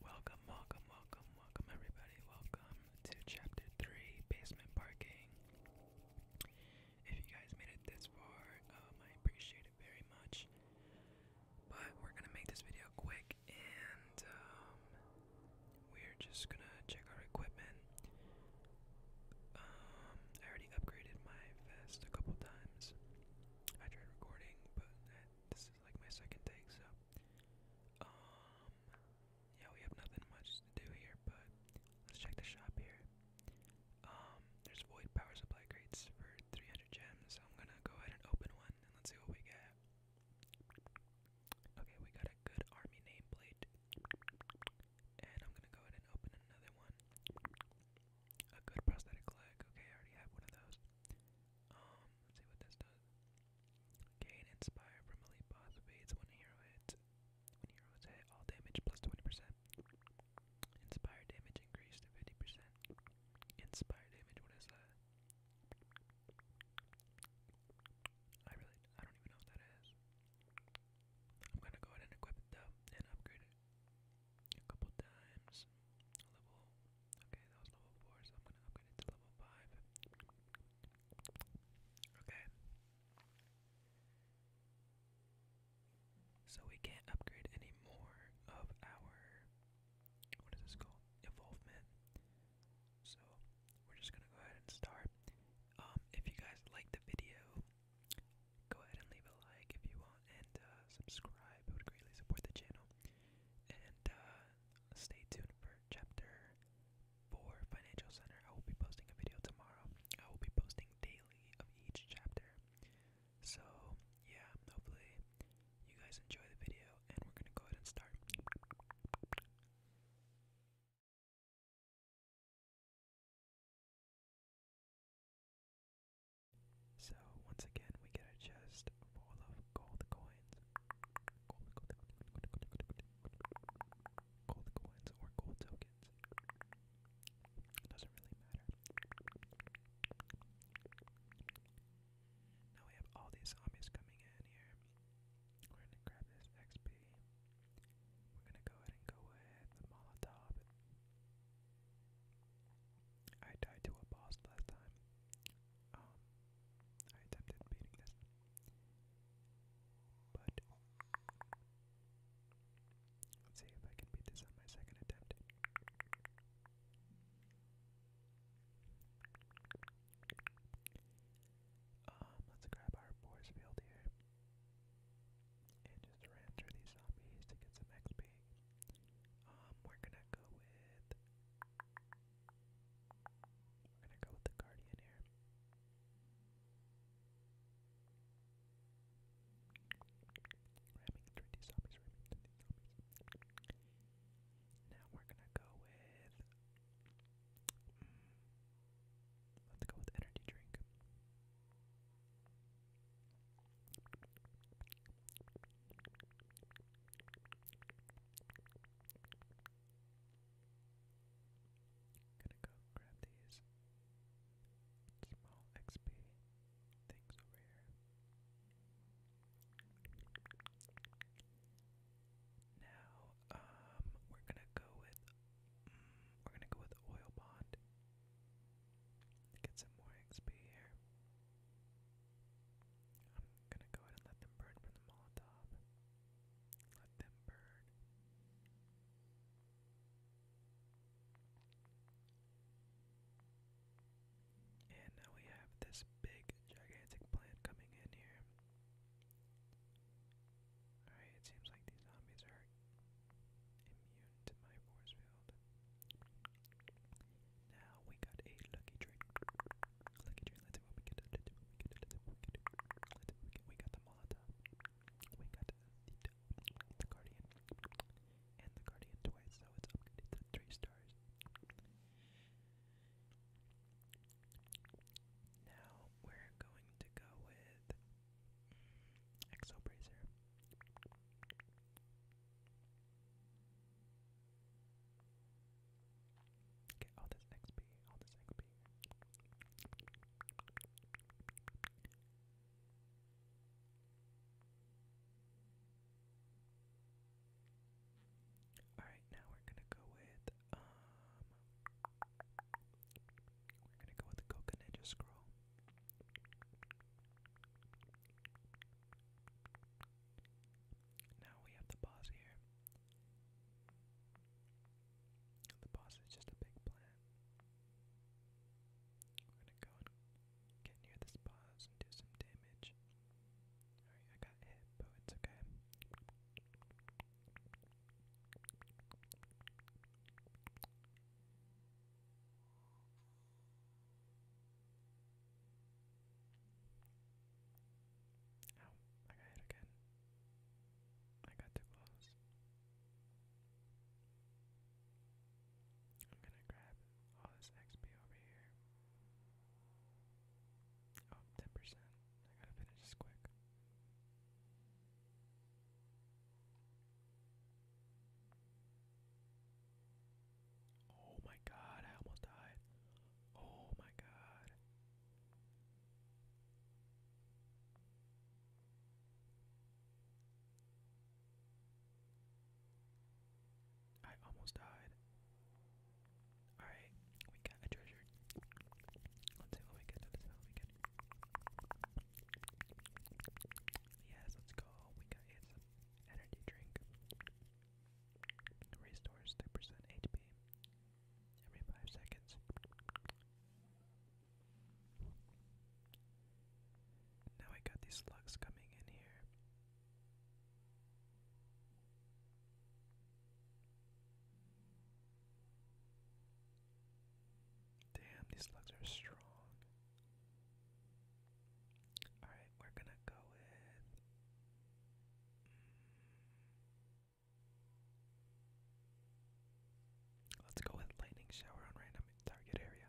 Welcome, welcome, welcome, welcome, everybody. Welcome to Chapter 3 Basement Parking. If you guys made it this far, um, I appreciate it very much. But we're gonna make this video quick and um, we're just gonna check our equipment. Um, I already upgraded my vest a couple times. I tried recording, but this is like my second take, so. Um, yeah, we have nothing much to do here, but let's check the shop here. Um, there's void power supply crates for 300 gems, so I'm gonna go ahead and open one and let's see what we get. Okay, we got a good army nameplate. And I'm gonna go ahead and open another one. A good prosthetic leg. Okay, I already have one of those. Um, see what this does. Gain inspire from elite boss evades when hero hits. When heroes hit, all damage plus 20%. Inspire damage increased to 50%. Inspire damage, what is that? I really, I don't even know what that is. I'm gonna go ahead and equip it though and upgrade it a couple times. Level okay, that was level four, so I'm gonna upgrade it to level five. Okay. So we can't upgrade any more of our what is this called? Involvement. So we're just gonna go ahead and start. Um, if you guys like the video, go ahead and leave a like if you want, and uh, subscribe. It would greatly support the channel. And uh, stay tuned for chapter four, Financial Center. I will be posting a video tomorrow. I will be posting daily of each chapter. So yeah, hopefully you guys enjoy the video, and we're gonna go ahead and start. So once again we get a chest full of gold coins. Gold, coins or gold tokens. doesn't really matter. Now we have all these zombies coming in here. We're gonna grab this XP. We're gonna go ahead and go ahead Molotov. I died to a boss last time. Um, I attempted beating this, but let's see if I can beat this on my second attempt. Um, let's grab our boys field here. And just ran through these zombies to get some XP. Um, we're gonna go with We're gonna go with the Guardian here. Ramming through these zombies, ramming through these zombies. Now we're gonna go with mm, Let's go with energy drink. Gonna go grab these small XP things over here. Now, um, we're gonna go with, mm, we're gonna go with oil bond. Get some more XP here. I'm gonna go ahead and let them burn from the Molotov. Let them burn. And now we have this big, gigantic plant coming in here. Alright, it seems like these zombies are immune to my force field. Now we got a lucky drink. Lucky drink, let's see what we get. we get. we get. we got the Molotov. We got the, Guardian. And the Guardian twice, so it's three stars. Now we're going to go with Exobracer. Get all this XP, all this XP. Alright, now we're gonna go with we're gonna go with the Coca Scroll. Now we have the boss here. The boss is just a big plant. We're gonna go and get near this boss and do some damage. Alright, I got hit, but it's okay. Oh, I got hit again. I got too close. I'm gonna grab all this XP over here. Oh, percent I gotta finish this quick. Oh my god, I almost died. Oh my god. I almost died. Alright, we got a treasure. Let's see what we get. let we get. Yes, let's go. We got energy drink. Restores 3 HP every 5 seconds. Now I got these slugs coming in here. Damn, these slugs are strong. Alright, we're gonna go with. Let's go with lightning shower on random target area.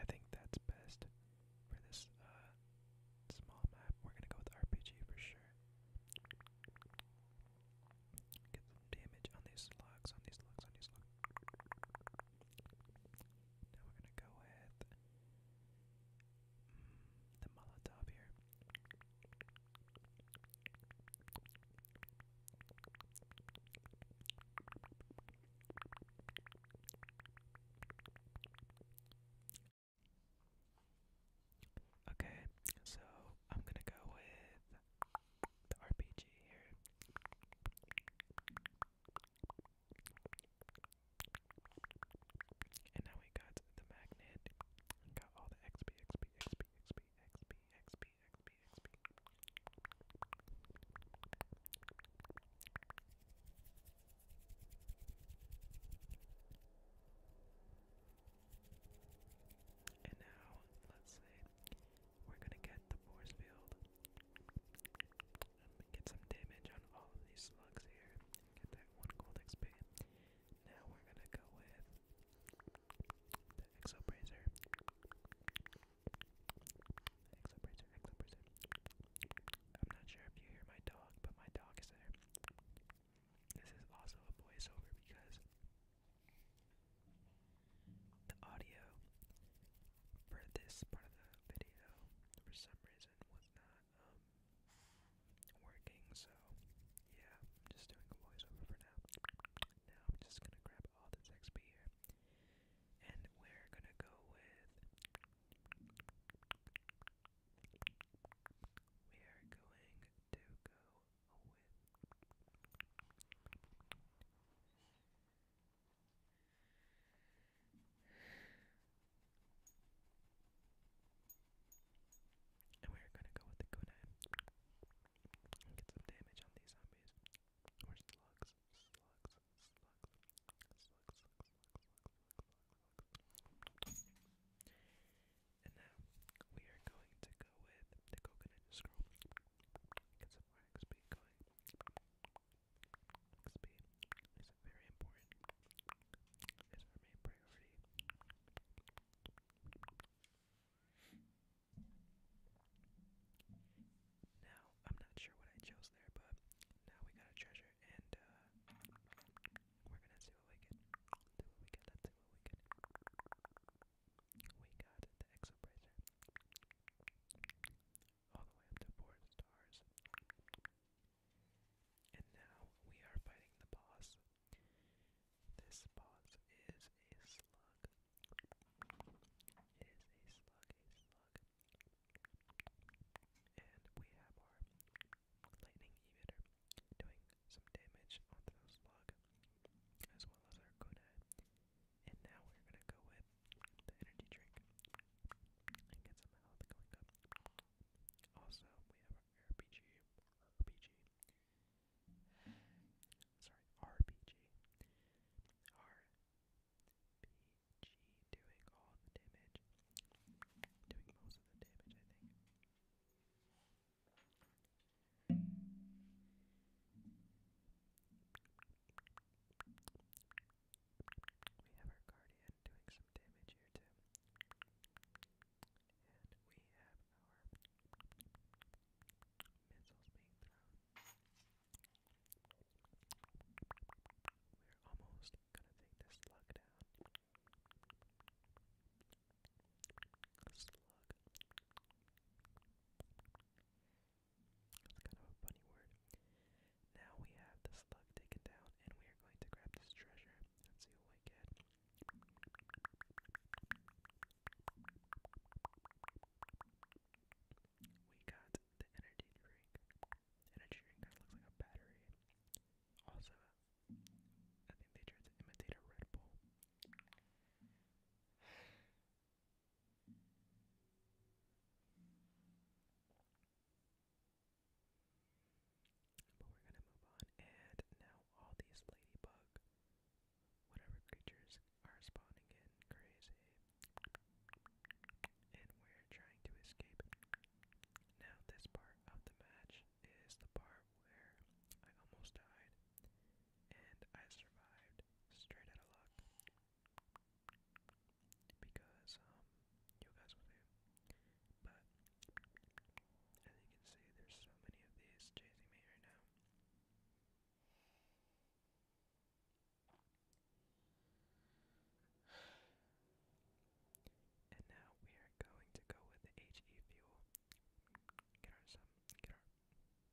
I think that's best for this uh, small map. We're gonna go with RPG for sure. Get some damage on these slugs, on these slugs, on these slugs. Now we're gonna go with mm, the Molotov here. Okay, so I'm gonna go with the RPG here. And now we got the magnet. got all the XP, XP, XP, XP, XP, XP, XP, XP. And now, let's say we're gonna get the force field um, get some damage on all these slugs here. Get that one gold XP. Now we're gonna go with the Exobracer. Exobracer, I'm not sure if you hear my dog, but my dog is there. This is also a voiceover because the audio for this part of the video, for some reason, was not um, working, so yeah, I'm just doing a voiceover for now. Now I'm just gonna grab all this XP here, and we're gonna go with. We are going to go with. And we're gonna go with the kunai. get some damage on these zombies. Or slugs. Slugs. And now we are going to go with the coconut scroll. Get some very important. It's our main priority. Now, I'm not sure what I chose there, but now we got a treasure and uh, we're gonna see what we get. Do what we get, let's see what we get we got the Exobracer all the way up to four stars. And now we are fighting the boss. This boss is a slug. It is a slug, a slug. And we have our lightning emitter doing some damage onto the slug, as well as our kunai. And now we're gonna go with the energy drink and get some health going up. Also, we have our RPG, RPG. Sorry, RPG. RPG doing all the damage, doing most of the damage, I think. We have our Guardian doing some damage here too. And we have our missiles being thrown. We're almost gonna take this slug down. Slug. That's kind of a funny word. Now we have the slug taken down, and we are going to grab this treasure. let see what we get. We got the energy drink. energy drink kind of looks like a battery. Also, I think they tried to imitate a Red Bull. But we're gonna move on, and now all these ladybug, whatever creatures, are spawning in crazy. And we're trying to escape. Now, this part of the match is the part where I almost died and I survived straight out of luck because um you guys will do. But as you can see, there's so many of these chasing me right now. And now we are going to go with HE fuel. Get our some, get our,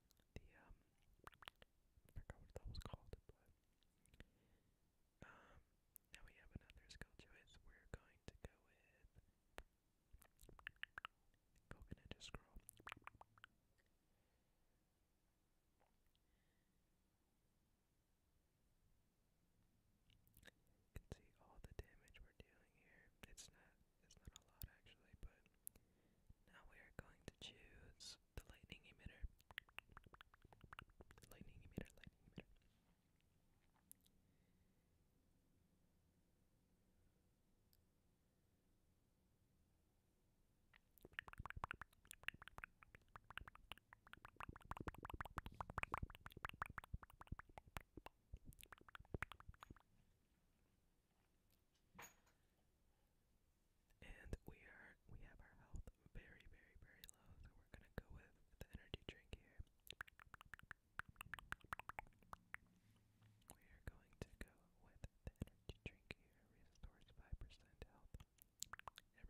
the um I forgot what that was called, but um now we have another skill choice. We're going to go with Coconut scroll. You can see all the damage we're dealing here. It's not it's not a lot actually, but now we are going to choose the lightning emitter. Lightning emitter, lightning emitter. And we are we have our health very, very, very low, so we're gonna go with the energy drink here. We are going to go with the energy drink here. Restores five percent health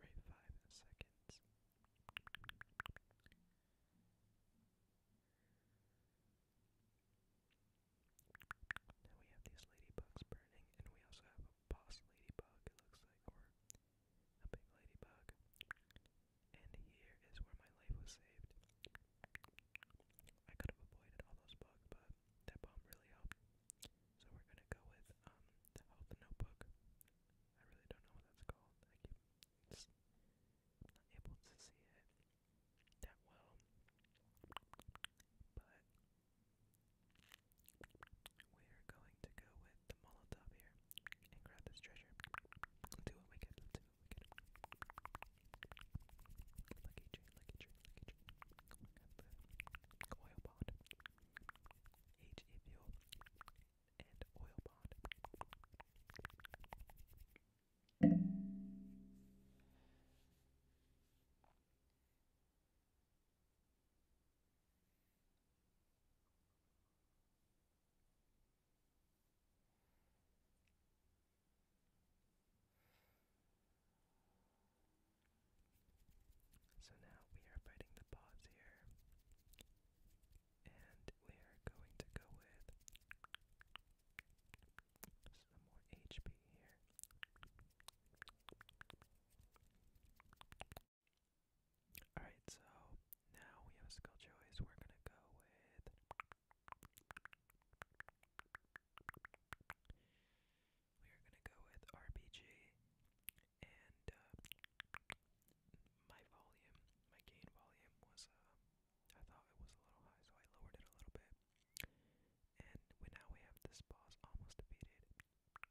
every five seconds. Now we have these ladybugs burning, and we also have boss ladybug, it looks like, or a big ladybug. And here is where my life was saved. I could have avoided all those bugs, but that bomb really helped. So we're gonna go with um the health notebook. I really don't know what that's called. I keep just not able to see it that well. But we're going to go with the Molotov here and grab this treasure. do what we can. do what we can. Lucky tree, lucky tree, oil pond, HE fuel, and oil pond. So now we are biting the paws here, and we are going to go with some more HP here. Alright, so now we have a skill choice. We're gonna go with we are gonna go with RPG and uh, my volume, my gain volume was uh, I thought it was a little high, so I lowered it a little bit. And we now we have this boss almost defeated.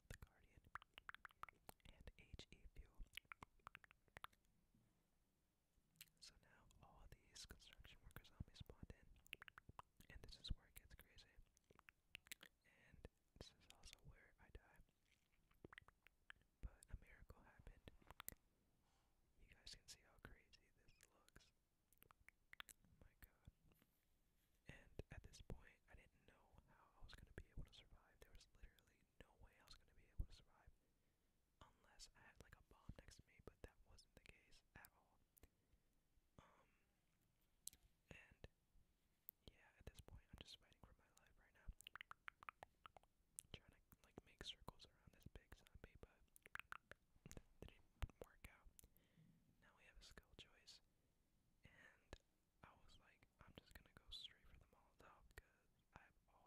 The Guardian, and HE Fuel. So now all these construction worker zombies spawned in, and this is where it gets crazy. And this is also where I die. But a miracle happened. You guys can see how crazy this looks. Oh my god. And at this point, I didn't didn't know how I was going to be able to survive. There was literally no way I was going to be able to survive unless I had like a bomb next to me, but that wasn't the case at all. Um, and yeah, at this point, I'm just waiting for my life right now. Trying to like make circles around this big zombie, but didn't work out. Now we have a skill choice, and I was like, I'm just gonna go straight for the Molotov because I have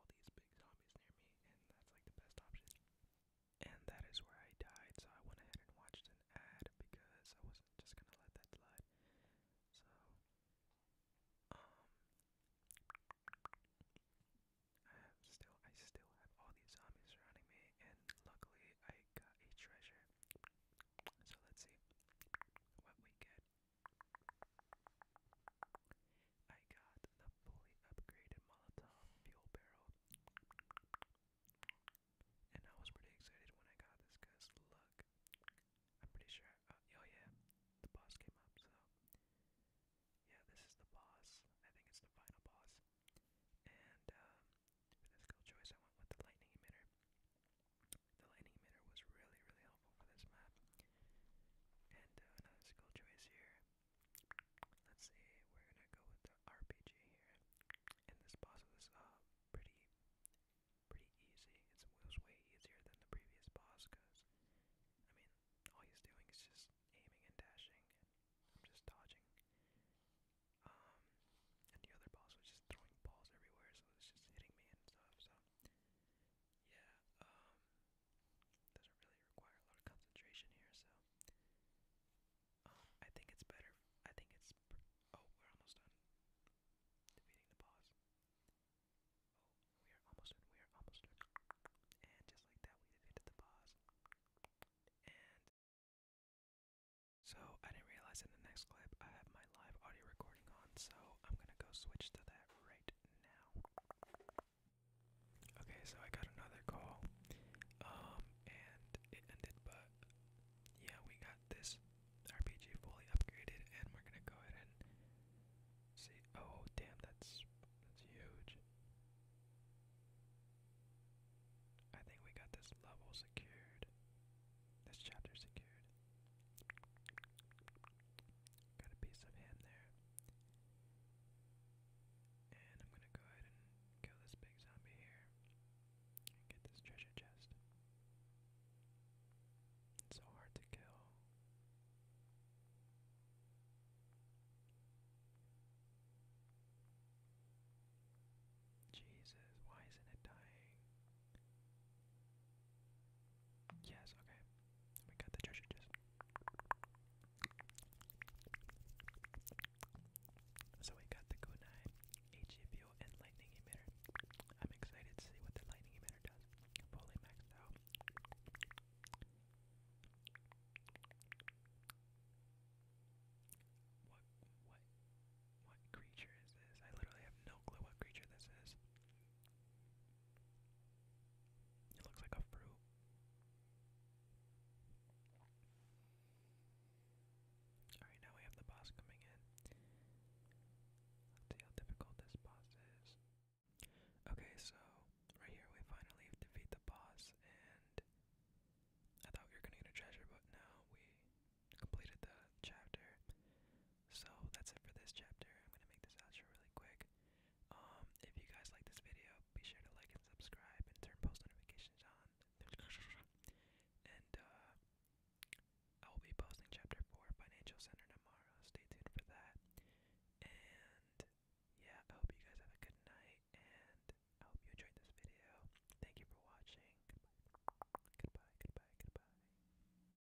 all these big zombies near me, and that's like the best option. And that is where I died, so I went ahead and watched an ad because I wasn't just gonna let that slide. So, um, I have still, I still have all these zombies surrounding me, and luckily I got a treasure. So let's see what we get. I got the fully upgraded Molotov fuel barrel. And I was pretty excited when I got this because look, I'm pretty sure. Uh, oh, yeah, the boss came up, so. Yeah, this is the boss. I think it's the final boss. And um, for the skill choice, I went with the lightning emitter. The lightning emitter was really, really helpful for this map. And uh, another skill choice here. Let's see, we're gonna go with the RPG here. And this boss was uh, pretty, pretty easy. It's, it was way easier than the previous boss, cause I mean, all he's doing is just aiming and dashing. And I'm just dodging. Um, and the other boss was just throwing balls everywhere, so it's just hitting me and stuff. So yeah, um, doesn't really require a lot of concentration here, so, um, I think it's better, I think it's, oh, we're almost done defeating the boss. Oh, we are almost done, we are almost done. And just like that, we defeated the boss. And so I didn't realize in the next clip I have live audio recording on, so I'm gonna go switch to that right now. Okay, so I got another call, um, and it ended, but yeah, we got this RPG fully upgraded, and we're gonna go ahead and see. Oh, damn, that's that's huge. I think we got this level secured. This chapter secured. Got a piece of ham there. And I'm gonna go ahead and kill this big zombie here. And get this treasure chest. It's so hard to kill. Jesus, why isn't it dying? Yes, okay. We got the treasure chest. So we got the Kunai HGPO and lightning emitter. I'm excited to see what the lightning emitter does. Fully maxed out. What what what creature is this? I literally have no clue what creature this is. It looks like a fruit. Alright, now we have the boss coming in. Let's see how difficult this boss is. Okay, so right here we finally defeat the boss, and I thought we were gonna get a treasure, but now we completed the chapter. So that's it for this chapter. I'm gonna make this outro really quick. Um, if you guys like this video, be sure to like and subscribe and turn post notifications on. And uh, I will be posting chapter four, Financial Center, tomorrow. Stay tuned for that. And yeah, I hope you guys have a good night, and I hope you enjoyed this video. Thank you for watching. goodbye, goodbye. goodbye.